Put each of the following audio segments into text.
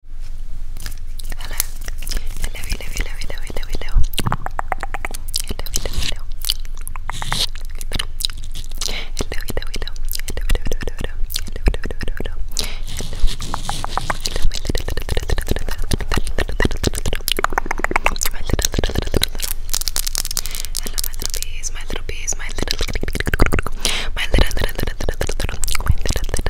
Hello. Hello, hello, hello, hello, hello, hello. Hello, hello, hello. Hello, hello, hello. Hello, hello, hello, hello. Hello, hello, hello, hello. Hello, my little, little, little, little, little, my little, little, little, little. Hello, my little bees, my little bees, my little, my little, little, little, little, my little, little, little, little, little, my little, little,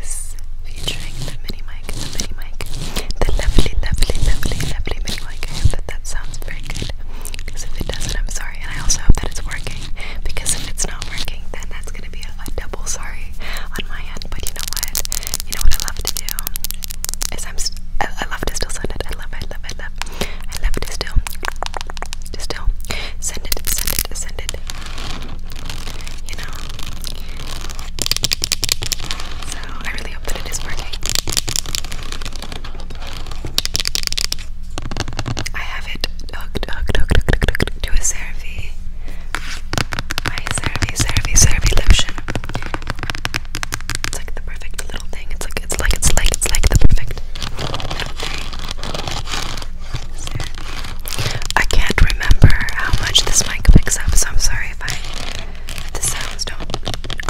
is featuring the mini mic, the mini mic, the lovely, lovely, lovely, lovely mini mic. I hope that that sounds very good. Because if it doesn't, I'm sorry. And I also hope that it's working. Because if it's not working, then that's gonna be a, double sorry on my end. But you know what? You know what I love to do is I'm. I, love to still send it. I love, I love, I love, I love to still, still send it, send it, send it you know. So I really hope that it is working. I have it hooked, hooked, hooked, hooked, hooked to a CeraVe. My CeraVe, CeraVe, CeraVe lotion. It's like the perfect little thing. It's like, it's like, it's like, it's like the perfect I can't remember how much this mic picks up, so I'm sorry if I the sounds don't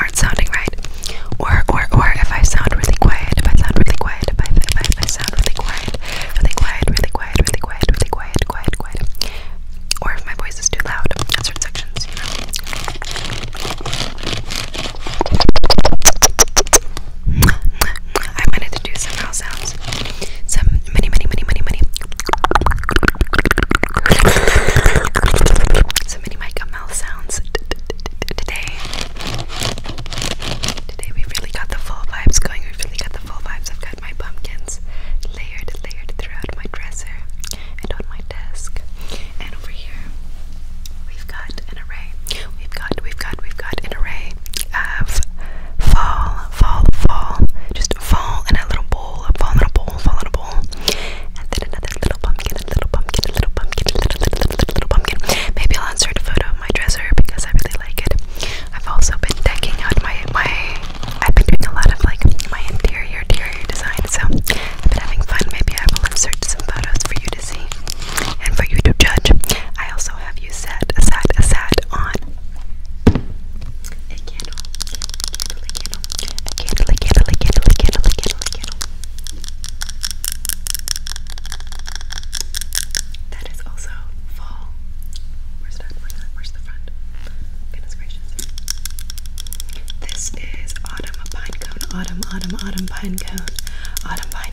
aren't sounding right. Or or or if I sound really quiet, if I sound really quiet, if I if I, if I sound really quiet, really quiet, really quiet, really quiet, really quiet, quiet, quiet. Or if my voice is too loud in certain sections, you know. I wanted to do some mouth sounds. Some mini, mini, mini, mini, mini. Some mini mica mouth sounds today. Today we really got the full vibes going. We've really got the full vibes. I've got my pumpkins layered, layered throughout my dresser and on my desk. And over here, we've got an array. We've got, we've got, we've got an array of fall, fall, fall, just fall in a little bowl, fall in a bowl, fall in a bowl, and then another little pumpkin, a little pumpkin, a little pumpkin, a little, little, little, little pumpkin. Maybe I'll insert a photo of my dresser because I really like it. I've also been decking out my my. I've been doing a lot of like my interior, interior design, so I've been having fun. Maybe I will insert some photos for you to see and for you to judge. I also have you sat, sat, sat on a candle? A candle, a candle, candle, candle, candle, candle, That is also fall. Where's that? Where's Where's the front? Goodness gracious. This is autumn, a pine Autumn, autumn, autumn, pine Autumn, pine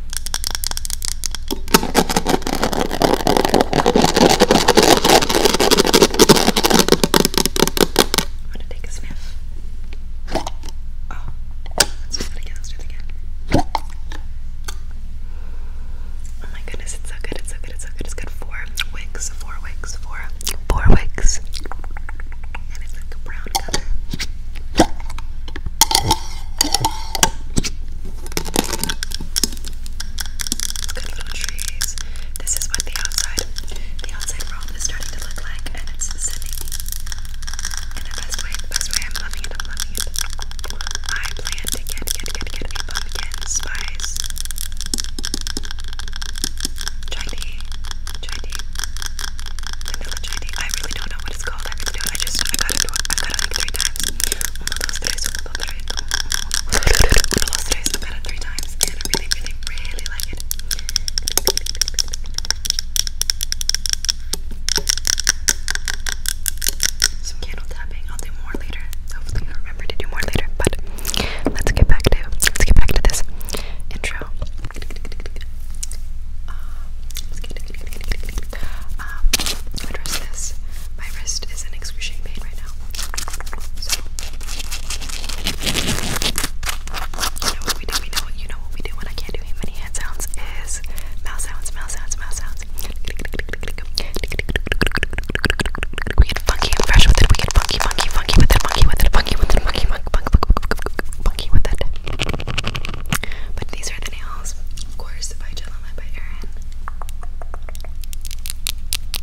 I'm gonna take a sniff. Oh, let's do it again. Oh my goodness, it's so good. It's so good. It's so good. It's good. Four wigs. Four wigs. Four. Four wigs. And it's like a brown color. Good little trees. This is what the outside, the outside world is starting to look like, and it's sending in the best way. The best way. I'm loving it. I'm loving it. I plan to get, get, get, get a pumpkin spice. Chai tea, chai tea, vanilla I really don't know what it's called. I have to do it. I just, I gotta do it. I gotta three times. Uno, dos, tres, uno, dos, tres, uno, dos, I gotta three times. And I really, really, really like it. Some candle tapping. I'll do more later. Hopefully, I remember to do more later. But let's get back to let's get back to this intro. Uh, um, address this. My wrist is in excruciating pain right now. So, you know what we do, we you know what we do when I can't do many hand sounds is mouth sounds, mouth sounds, mouth sounds. We get funky and fresh with it, we get funky, funky, funky with it, funky with it, funky with it, funky, funky, funky, funky, funky, funky with it. But these are the fingernails, of course, by Jelena by Erin.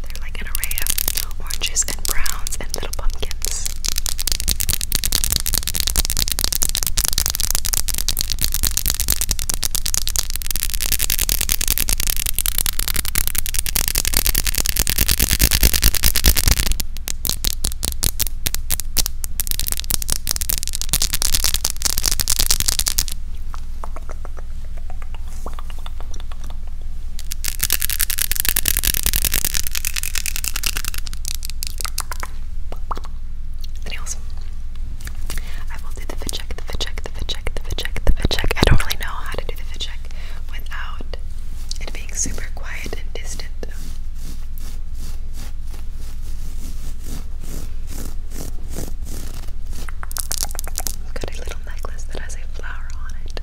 They're like an array of oranges and browns and little pumpkins. The nails. I will do the fit check, the fit check, the fit check, the fit check, the fit check. I don't really know how to do the fit check without it being super quiet and distant. Got a little necklace that has a flower on it.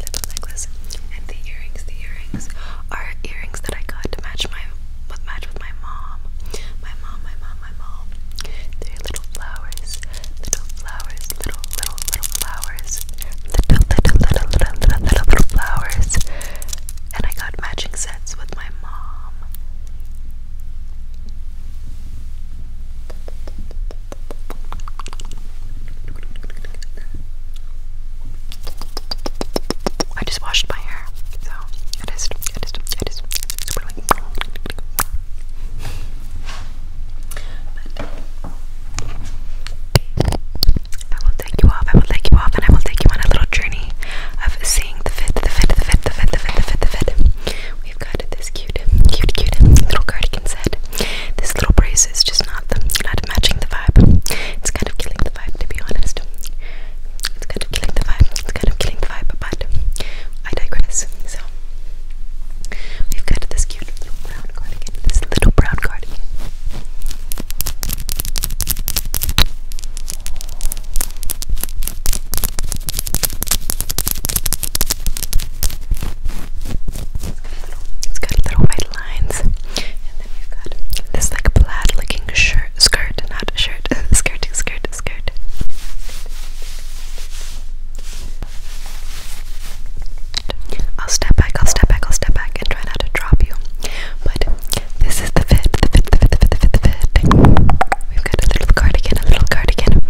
Little necklace, and the earrings. The earrings are earrings that I got to match my with match with my mom. My mom, my mom, my mom. little flowers, little flowers, little little little flowers, little little little little little little, little flowers and I got matching sets with my mom. I just washed my hair, so it is, it is, it is. But I will take you off, I will take you off, and I will take you on a little journey of seeing the fit, the fit, the fit, the fit, the fit, the fit, the fit. We've got this cute, cute, cute little cardigan set. This little brace is just not the, not matching the vibe. It's kind of killing the vibe, to be honest. It's kind of killing the vibe. It's kind of killing the vibe, but I digress. So we've got this cute little brown cardigan. This little brown cardigan. It's got little white lines, and then we've got this like plaid-looking shirt, skirt, not shirt, skirt, skirt, skirt. I'll step back, I'll step back, I'll step back, and try not to drop you. But this is the fit, the fit, the fit, the fit, the fit, the fit. We've got a little cardigan, a little cardigan.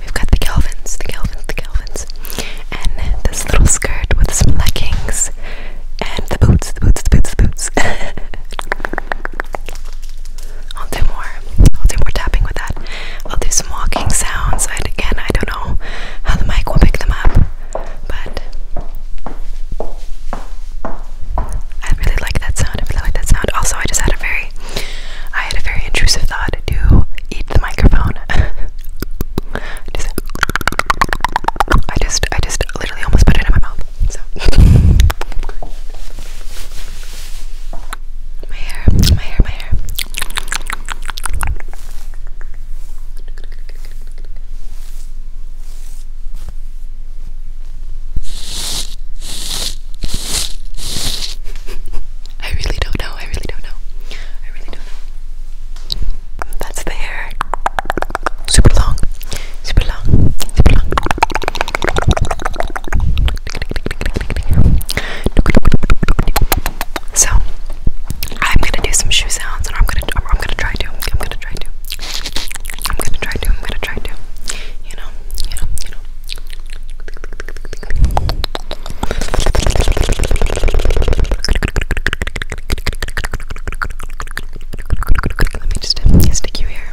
We've got the Calvins, the Calvins, the Calvins. And this little skirt with some leggings. And the boots, the boots, the boots, the boots. I'll do more. I'll do more tapping with that. I'll do some walking sounds. I, again, I don't know how the mic will pick them up. But I really like that sound. I really like that sound. Also, I just had a very, I had a very intrusive thought to eat the microphone. I just, I just literally almost put it in my mouth. So my hair, my hair, my hair. I really don't know. I really don't know. I really don't um, That's the hair. Super long. Super long. Super long. So I'm gonna do some shoe sounds, and I'm gonna, I'm gonna try to, I'm gonna try to. I'm gonna try to, I'm gonna try to. You know, you know, you know. Let me just stick you here.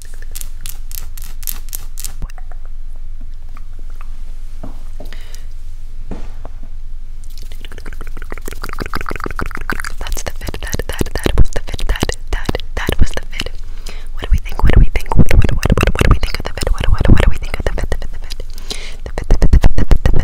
That's the fit. That that that was the fit. That that that was the fit. What do we think? What do we think? What what what what, what do we think of the fit? What what what do we think of the fit? The fit. The fit. The fit. The fit. The fit. The fit. The fit. The fit.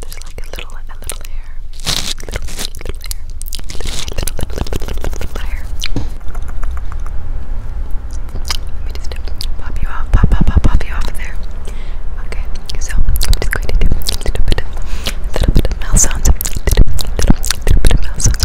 There's like a little, a little hair. Little, little hair. Little, little, little, little, little, little hair. Let me just pop you off, pop, pop, pop, pop you off there. Okay, so I'm just going to do a little bit of, a little bit of mouth sounds. Little, little, little bit of mouth sounds.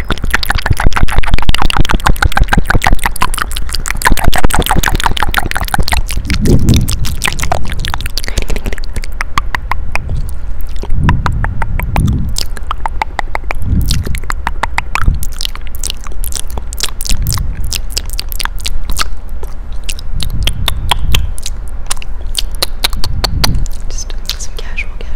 Just doing some casual, casual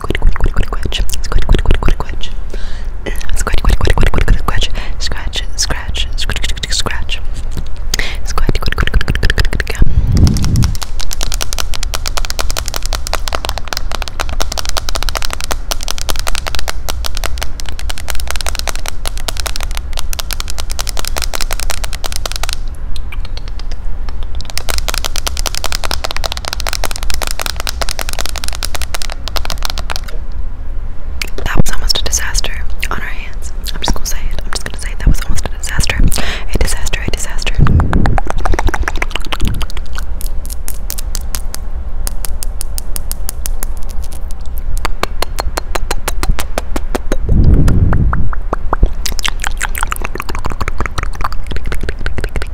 squid, squid, squid, squid, squid, squid, squid, squid, squid, scratch, scratch, scratch, scratch, squid, squid, that was almost a disaster on our hands. I'm just gonna say it. I'm just gonna say that was almost a disaster. A disaster, a disaster.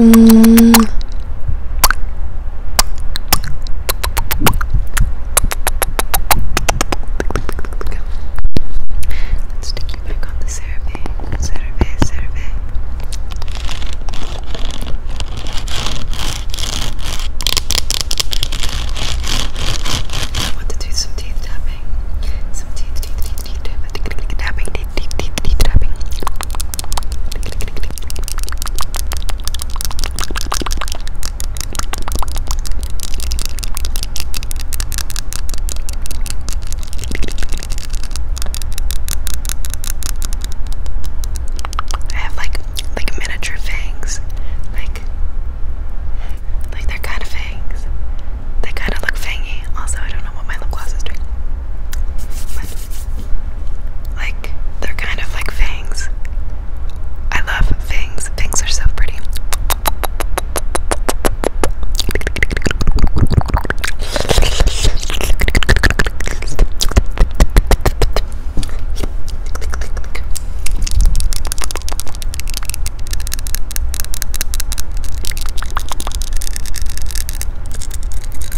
Um, let's stick you back on the survey, survey, survey. I want to do some teeth tapping. Some teeth, teeth, teeth, teeth tapping, teeth, teeth, teeth, teeth tapping. I have like like miniature fangs. Like like they're kind of fangs. They kind of look fangy. Also, I don't know what my lip gloss is doing. Like, they're kind of like fangs. I love fangs. Fangs are so pretty.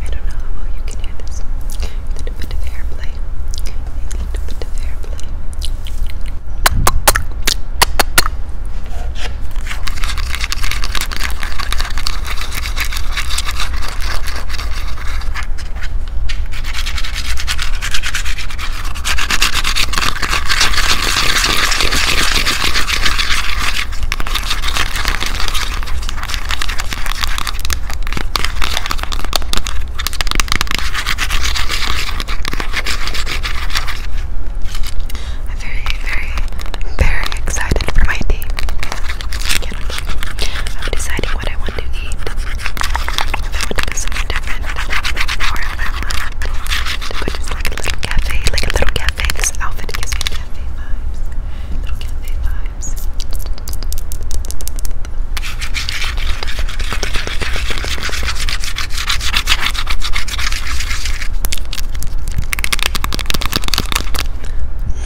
I don't know how well you can hear this. A bit of airplay. A bit of airplay. I'm very, very, very excited for my tea. I'm deciding what I want to eat. I want to do something different, or I want to go like a little cafe, like a little cafe. This outfit gives me cafe vibes. Little cafe vibes.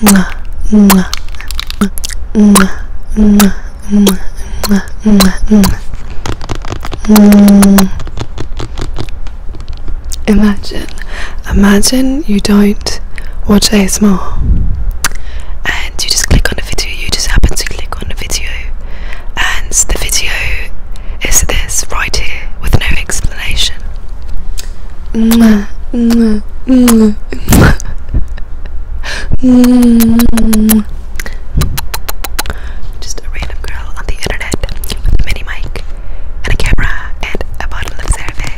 Mwah, mwah, mwah. Imagine, imagine you don't watch ASMR and you just click on a video, you just happen to click on a video, and the video is this right here with no explanation. Mm. Just a random girl on the internet with a mini mic and a camera and a bottle of survey.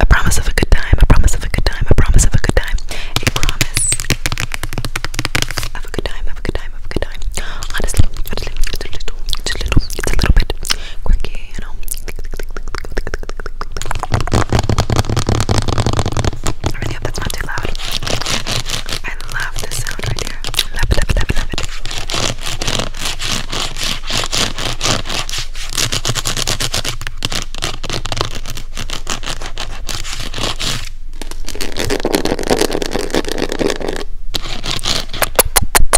A promise of a good time, a promise of a good time, a promise of a good time, a promise of a good time, of a good time, of a good time. Honestly, honestly, it's a little, it's a little, it's a little bit, quirky, you know. I really hope that's not too loud. I love this sound right here. Love it, love it, love it, love it.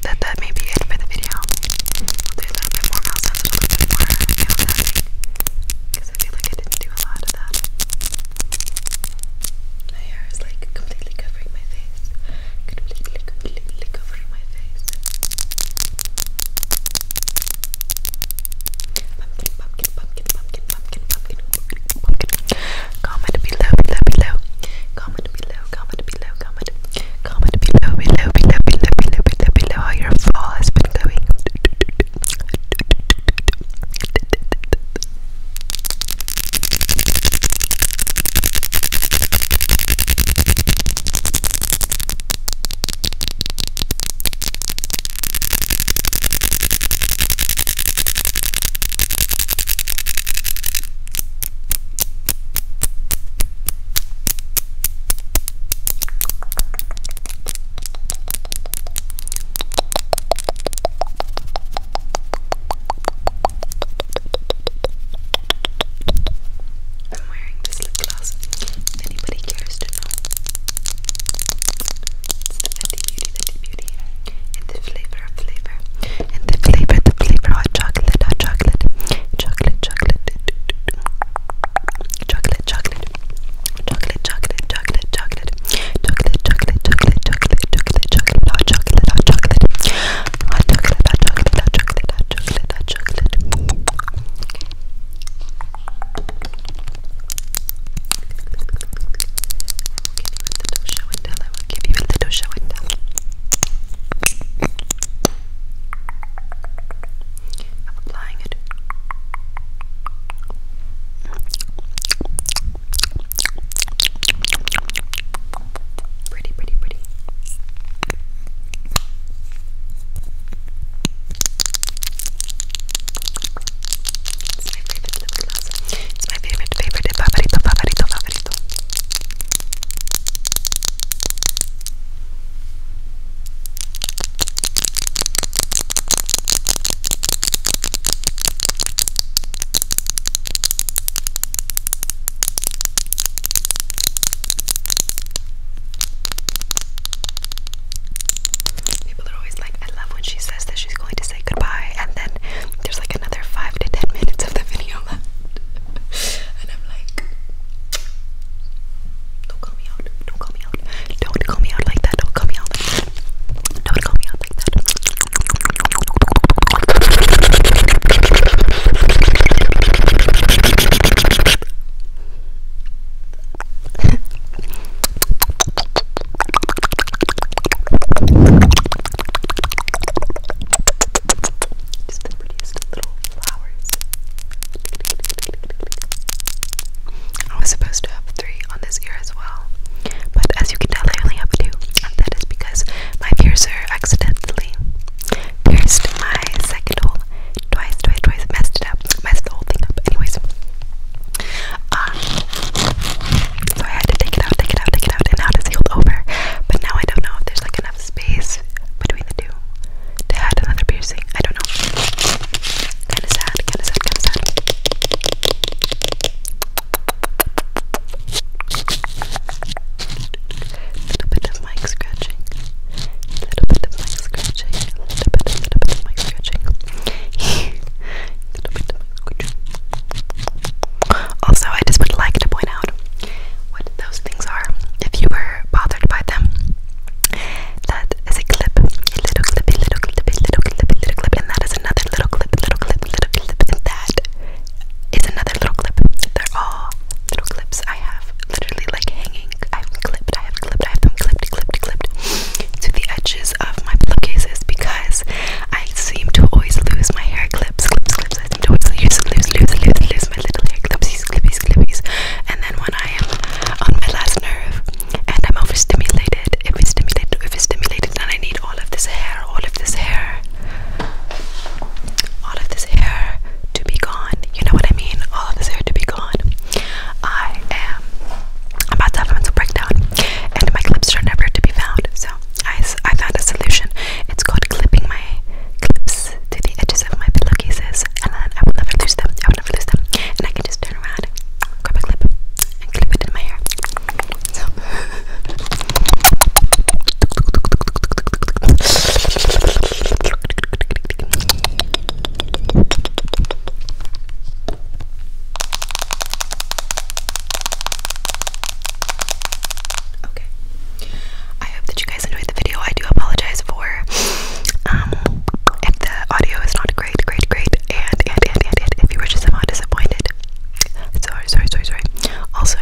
that that may be it for the video. I'll do a little bit more mouth sounds, a little bit more I feel like I did do a lot of that. My hair is like completely covering my face, completely, completely covering my face. Comment below, below, below. Comment below, comment below below, comment, comment below, below, below, below, below, below, below how your fall has been going. I'm wearing this lip gloss if anybody cares to know. It's the Fenty Beauty, Fenty Beauty. And the flavor of flavor. And the flavor, the flavor, hot chocolate, hot chocolate. Chocolate, chocolate chocolate, chocolate, chocolate, chocolate, chocolate, chocolate, chocolate, chocolate, chocolate, chocolate, chocolate, chocolate, chocolate, hot chocolate, hot chocolate, hot chocolate, hot chocolate, hot chocolate, hot chocolate, hot chocolate. I will give you a little show and tell. I will give you a little show and tell of applying it. Pretty, pretty, pretty. It's my favorite lip gloss. It's my favorite, favorite, favorito, favorito, favorito. People are always like, I love when she says that she's going to say goodbye, and then there's like another five to ten minutes of the video and I'm like, don't call me out. Don't call me out. Don't call me out like that. Don't call me out like that. Don't call me out like that. Just the prettiest little flowers. I was supposed to have three on this ear as well, but as you can tell, I only have two, and that is because my piercer accidentally pierced my second hole twice, twice, twice, messed it up, messed the whole thing up. Anyways, um, so I had to take it out, take it out, take it out, and now it's healed over. But now I don't know if there's like enough space between the two they had another piercing. I don't know. Kinda sad, kinda sad, kinda sad. Little bit of mic scratching. Little bit of mic scratching. Little bit, little bit of mic scratching. Also, I just would like to point out what those things are if you were bothered by them. That is a clip, a little clip, a little clip, a little clip, a little clip, and that is another little clip, little clip, little clip, and that is another little clip. They're all little clips I have literally like hanging. I've clipped, I have clipped, I have them clipped, clipped, clipped to the edges of my pillowcases because I seem to always lose my hair clips, clips, clips. I sometimes lose, lose, lose, lose, lose my little hair clipsies, clippies, clippies. And then when I am on my last nerve and I'm overstimulated, if it's stimulated, if it's stimulated, then I need all of this hair, all of this hair, all of this hair to be gone. You know what I mean? All of this hair to be gone. I am about to have a mental breakdown, and my clips are never to be found. So I, I found a solution. It's called clipping clips to the edges of my pillowcases and then I will never lose them. I will never lose them. And I can just turn around, grab a clip, and clip it in my hair. Okay. I hope that you guys enjoyed the video. I do apologize for um if the audio is not great, great, great, and and and and, if you were just somehow disappointed. Sorry, sorry, sorry, sorry. Also,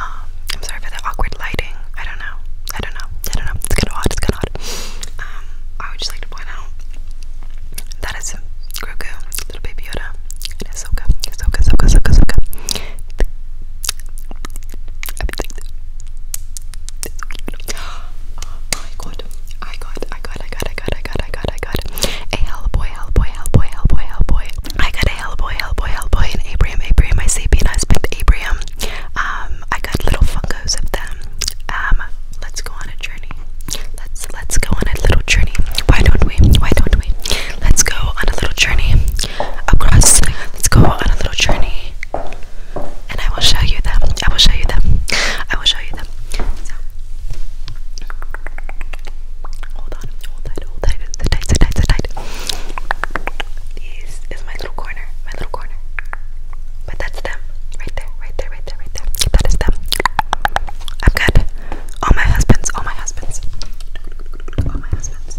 um, I'm sorry for the awkward lighting. I don't know. I don't know. I don't know. It's kinda odd, it's kinda odd. Um, I would just like to point out that is Grogu, little baby Yoda, and Ahsoka, Ahsoka, Ahsoka, Ahsoka, Ahsoka everything. Oh I got, I got, I got, I got, I got, I got, I got a Hellboy, Hellboy, Hellboy, Hellboy, Hellboy. I got a Hellboy, Hellboy, Hellboy, and Abraham, Abraham, my sapient husband, Abraham. Um, I got little fungos of them. Um, let's go on a journey. Let's let's go on a little journey. Why don't we? Why don't we? Let's go on a little journey across. Let's go on a little journey, and I will show you them. I will show you them. I will show you them. hold on, hold tight, hold tight, sit tight, sit tight, sit tight. This is my little corner, my little corner. But that's them, right there, right there, right there, right there. That is them. I'm good. All my husbands, all my husbands, all my husbands.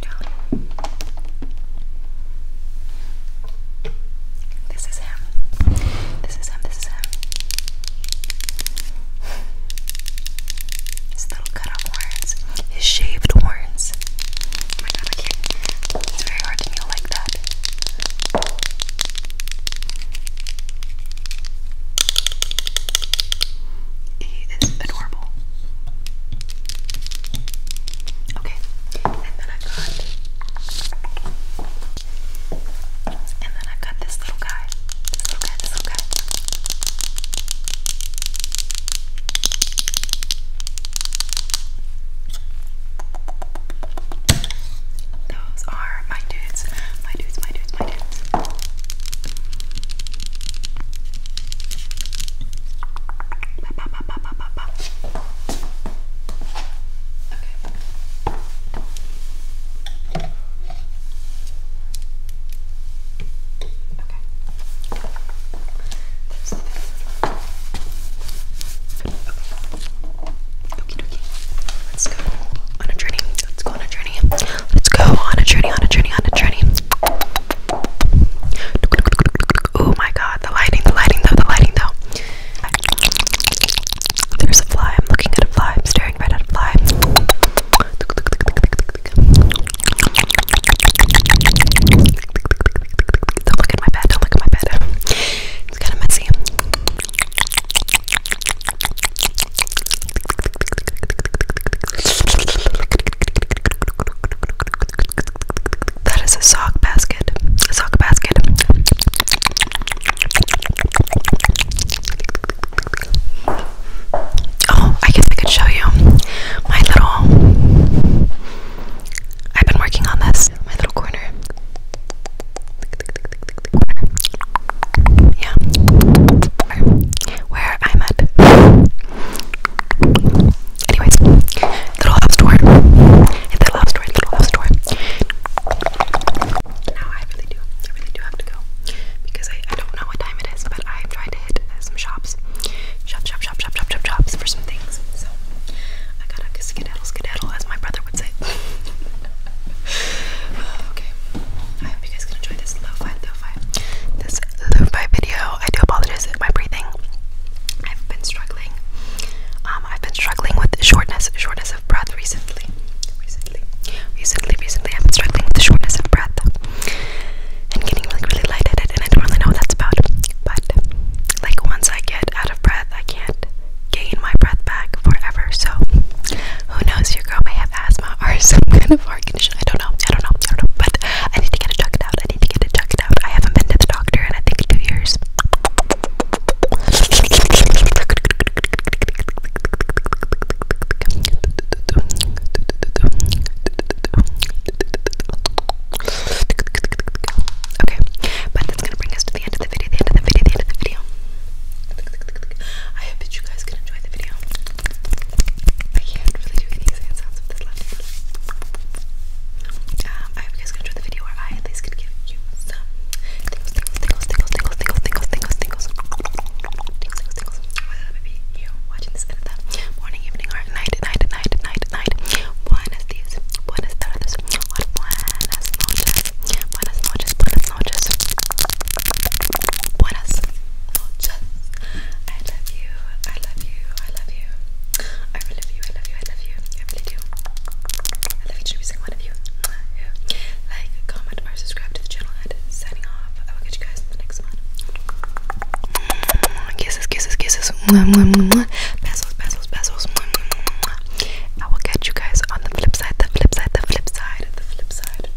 this is him. This is him. This is him. His little cut off horns. His shaved horns. Oh my god, I can't. It's very hard to kneel like that. He is adorable. Okay, and then I got, and then I got this little guy, this little guy, this little guy. Those are my dudes, my dudes, my dudes, my dudes. Pop, pop, pop, pop, pop, pop. Okay. Okay. That's the best. Okay. Dokie dokie. Let's go on a journey. Let's go on a journey. Let's go on a journey, on a journey, on a journey. Oh my god, the lighting, the lighting though, the lighting though. There's a fly, I'm looking at a fly, staring right at a fly. Don't look at my bed, don't look at my bed. It's kind of messy. That is a sock basket. A sock basket. Oh, I guess I could show you my little. I've been working on this. My little corner. Yeah. where I'm at. Anyways, little house tour. Hit that house tour, little house tour. Now I really do, I really do have to go because I, I don't know what time it is, but I'm trying to hit some shops. Shop, shop, shop, shop, shop, shops for some things. So I gotta skedaddle, skedaddle, as my brother would say. okay, I hope you guys can enjoy this lo-fi, lo-fi, this lo video. I do apologize for my breathing. I've been struggling. Um, I've been struggling with shortness, shortness of breath recently. Recently, recently, recently, I've been struggling with the shortness of breath and getting really, really light-headed. and I don't really know what that's about. But like once I get out of breath, I can't gain my breath back forever. So who knows? Your girl may have asthma or some kind of heart condition. I don't know. I don't know. I don't know. But I need to get a checked out. I need to get it checked out. I haven't been to the doctor in I think two years. Okay, but that's gonna bring us to the end of the video, the end of the video, the end of the video. I hope that you guys can enjoy the video. I can't really do any sound with this left um, I hope you guys enjoyed the video where I at least could give you some morning, evening, or night, night, night, night, night. Buenos dias, buenas tardes, buenas noches, buenas noches, buenas noches, buenas noches. I love you. I love you. I love you. I really love you. I love you. I love you. I really do. I love each and every single one of you. Like, comment, or subscribe to the channel. And signing off. I will catch you guys in the next one. Kisses, kisses, kisses. Bezos, bezos, bezos. I will catch you guys on the flip side. The flip side. The flip side. The flip side.